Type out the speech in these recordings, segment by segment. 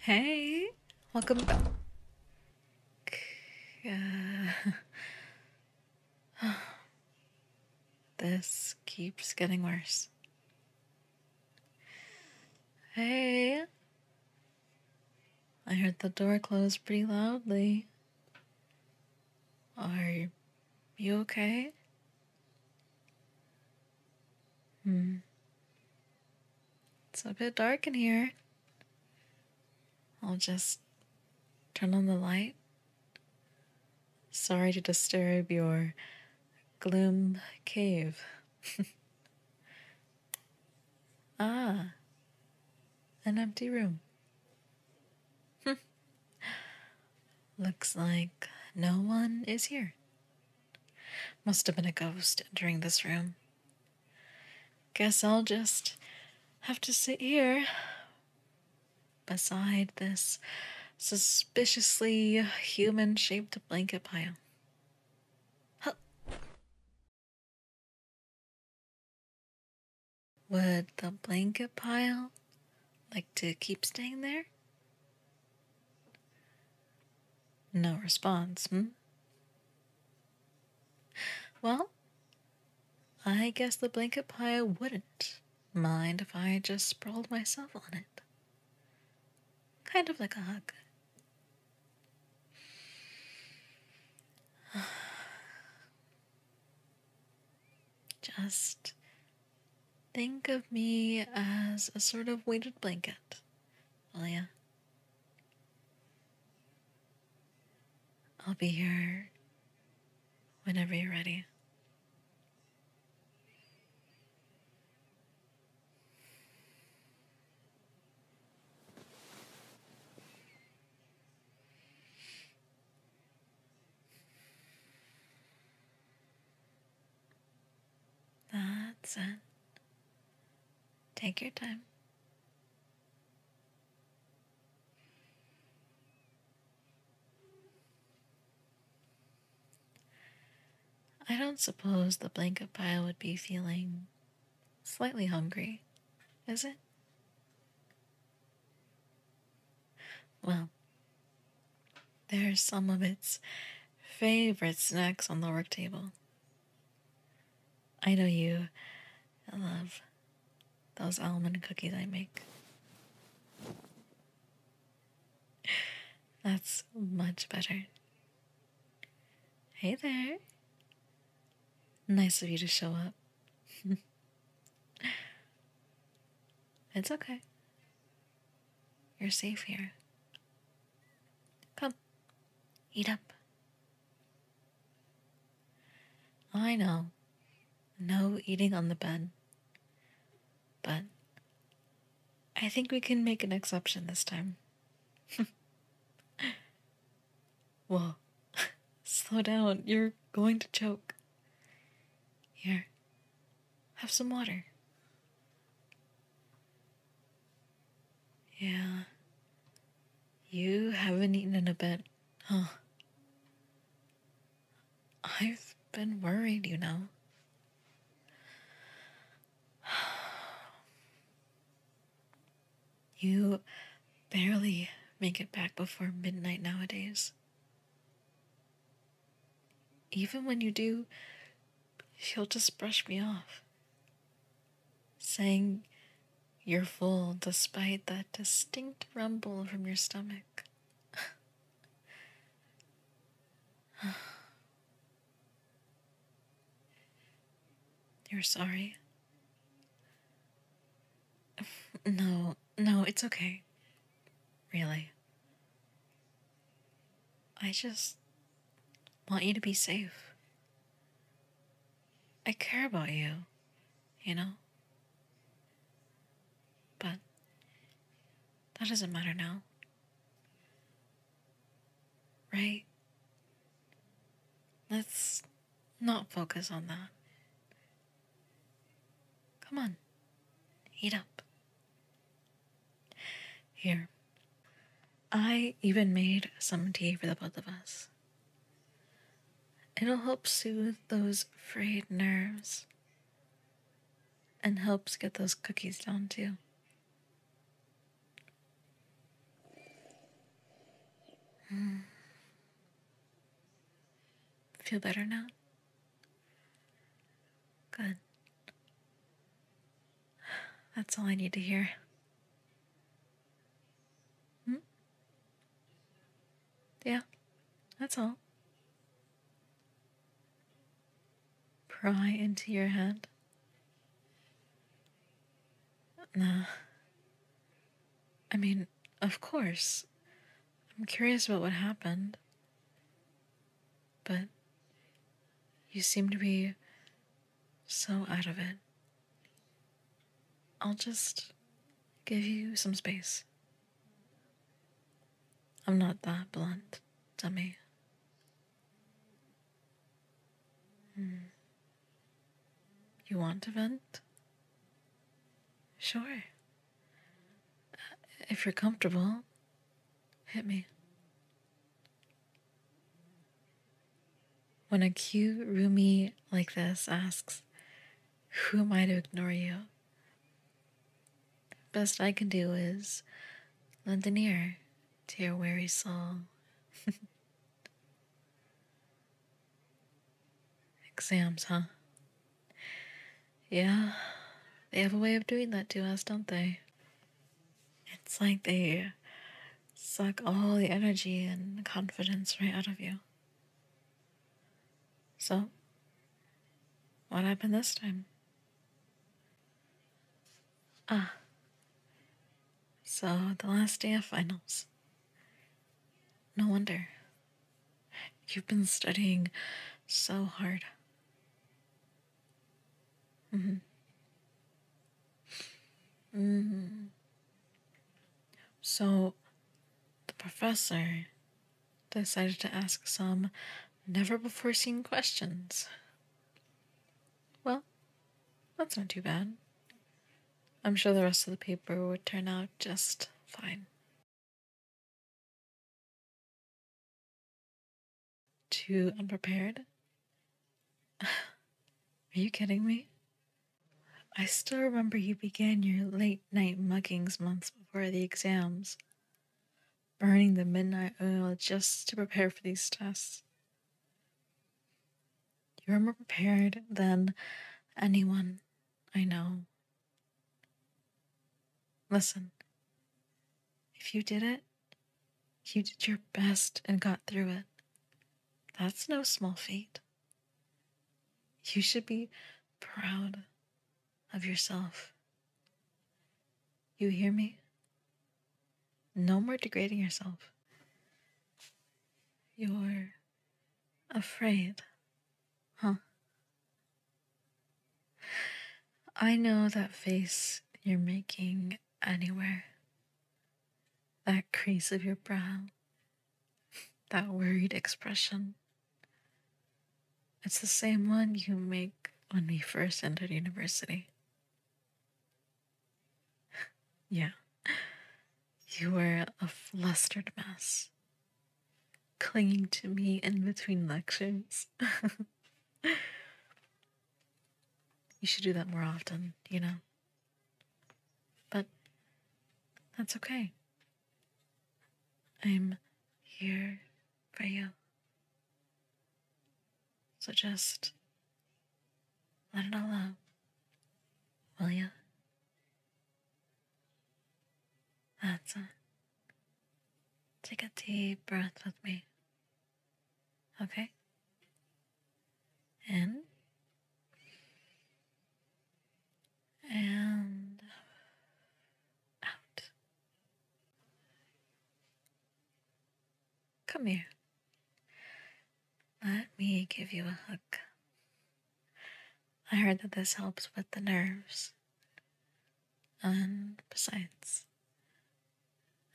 Hey, welcome back. Uh, this keeps getting worse. Hey, I heard the door close pretty loudly. Are you okay? Hmm. It's a bit dark in here. I'll just turn on the light. Sorry to disturb your gloom cave. ah, an empty room. Looks like no one is here. Must have been a ghost entering this room. Guess I'll just have to sit here beside this suspiciously human shaped blanket pile. Would the blanket pile like to keep staying there? No response, hmm? Well, I guess the blanket pile wouldn't mind if I just sprawled myself on it. Kind of like a hug. Just think of me as a sort of weighted blanket, will ya? I'll be here whenever you're ready. That's it. Take your time. I don't suppose the blanket pile would be feeling slightly hungry, is it? Well, there are some of its favorite snacks on the work table. I know you love those almond cookies I make. That's much better. Hey there. Nice of you to show up. it's okay. You're safe here. Come, eat up. I know, no eating on the bed. But I think we can make an exception this time. Whoa, slow down, you're going to choke. Here, have some water. Yeah. You haven't eaten in a bit, huh? I've been worried, you know. You barely make it back before midnight nowadays. Even when you do, she'll just brush me off, saying, You're full despite that distinct rumble from your stomach. You're sorry? no, no, it's okay. Really. I just want you to be safe. I care about you, you know? But that doesn't matter now. Right? Let's not focus on that. Come on, eat up. Here, I even made some tea for the both of us. It'll help soothe those frayed nerves and helps get those cookies down too. Hmm. Feel better now? Good. That's all I need to hear. Hmm? Yeah, that's all. Pry into your hand? Nah. I mean, of course. I'm curious about what happened. But you seem to be so out of it. I'll just give you some space. I'm not that blunt, dummy. Hmm. You want to vent? Sure. If you're comfortable, hit me. When a cute roomie like this asks, Who am I to ignore you? Best I can do is lend an ear to your weary soul. Exams, huh? Yeah, they have a way of doing that to us, don't they? It's like they suck all the energy and confidence right out of you. So, what happened this time? Ah. So, the last day of finals. No wonder. You've been studying so hard. Mm hmm. Mm hmm. So, the professor decided to ask some never before seen questions. Well, that's not too bad. I'm sure the rest of the paper would turn out just fine. Too unprepared? Are you kidding me? I still remember you began your late night muggings months before the exams, burning the midnight oil just to prepare for these tests. You're more prepared than anyone I know. Listen, if you did it, you did your best and got through it. That's no small feat. You should be proud of yourself. You hear me? No more degrading yourself. You're afraid, huh? I know that face you're making anywhere. That crease of your brow, that worried expression. It's the same one you make when we first entered university. yeah, you were a flustered mess, clinging to me in between lectures. you should do that more often, you know? But that's okay. I'm here for you. So just let it all out, will you? That's it. Take a deep breath with me. Okay? In. And out. Come here. Let me give you a hug. I heard that this helps with the nerves. And besides,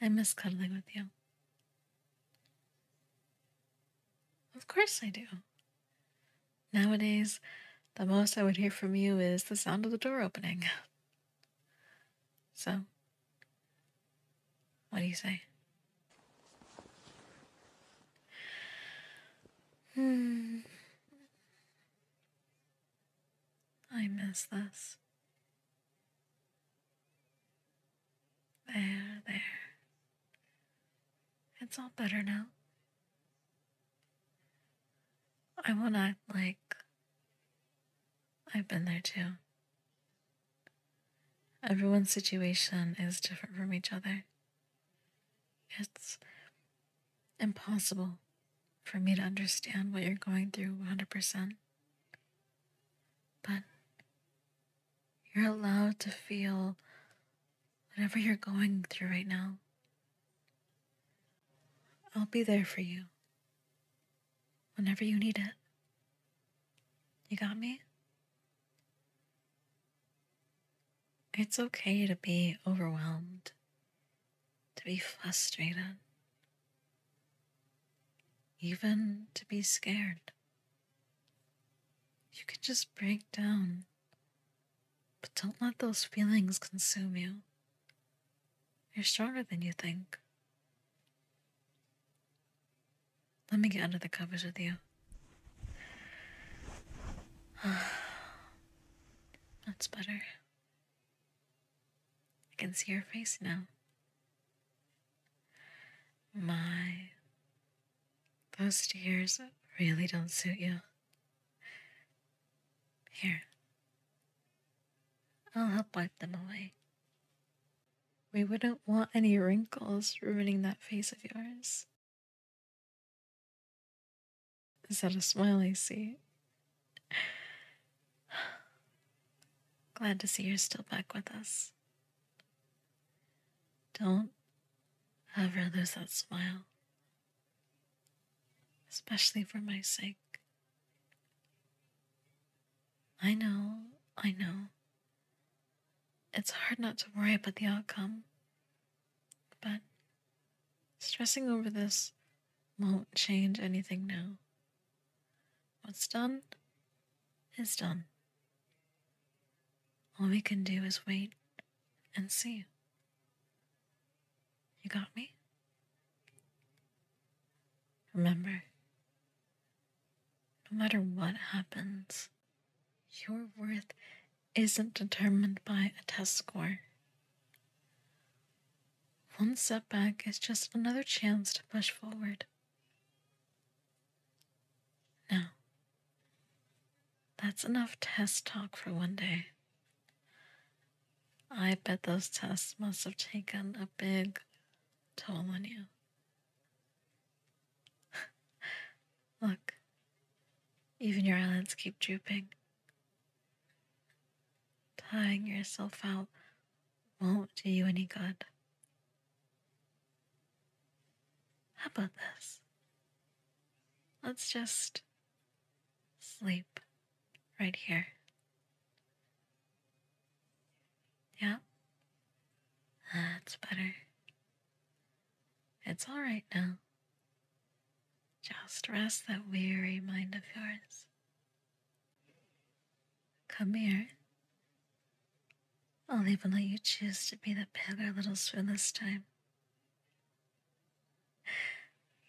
I miss cuddling with you. Of course I do. Nowadays, the most I would hear from you is the sound of the door opening. So, what do you say? Hmm. I miss this. There, there. It's all better now. I won't like I've been there too. Everyone's situation is different from each other. It's impossible for me to understand what you're going through 100%. But you're allowed to feel whatever you're going through right now. I'll be there for you whenever you need it. You got me? It's okay to be overwhelmed, to be frustrated, even to be scared. You can just break down, but don't let those feelings consume you. You're stronger than you think. Let me get under the covers with you. That's better. I can see your face now. My, those tears really don't suit you. Here, I'll help wipe them away. We wouldn't want any wrinkles ruining that face of yours. Is that a smiley? see? Glad to see you're still back with us. Don't ever lose that smile, especially for my sake. I know, I know. It's hard not to worry about the outcome, but Stressing over this won't change anything now. What's done is done. All we can do is wait and see. You got me? Remember, no matter what happens, you're worth isn't determined by a test score. One setback is just another chance to push forward. Now, that's enough test talk for one day. I bet those tests must have taken a big toll on you. Look, even your eyelids keep drooping. Tying yourself out won't do you any good. How about this? Let's just sleep right here. Yeah, that's better. It's all right now. Just rest that weary mind of yours. Come here. I'll even let you choose to be the paler little spoon this time.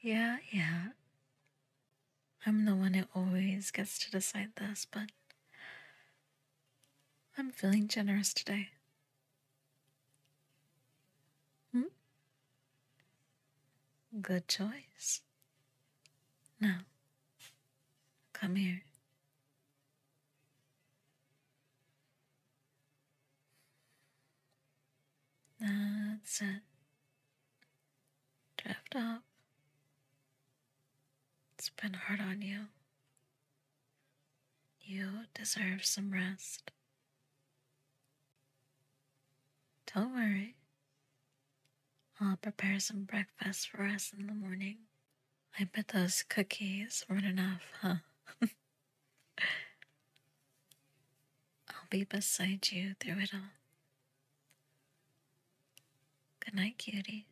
Yeah, yeah. I'm the one who always gets to decide this, but I'm feeling generous today. Hmm? Good choice. Now, come here. That's it. Drift off. It's been hard on you. You deserve some rest. Don't worry. I'll prepare some breakfast for us in the morning. I bet those cookies weren't enough, huh? I'll be beside you through it all. Good night, cutie.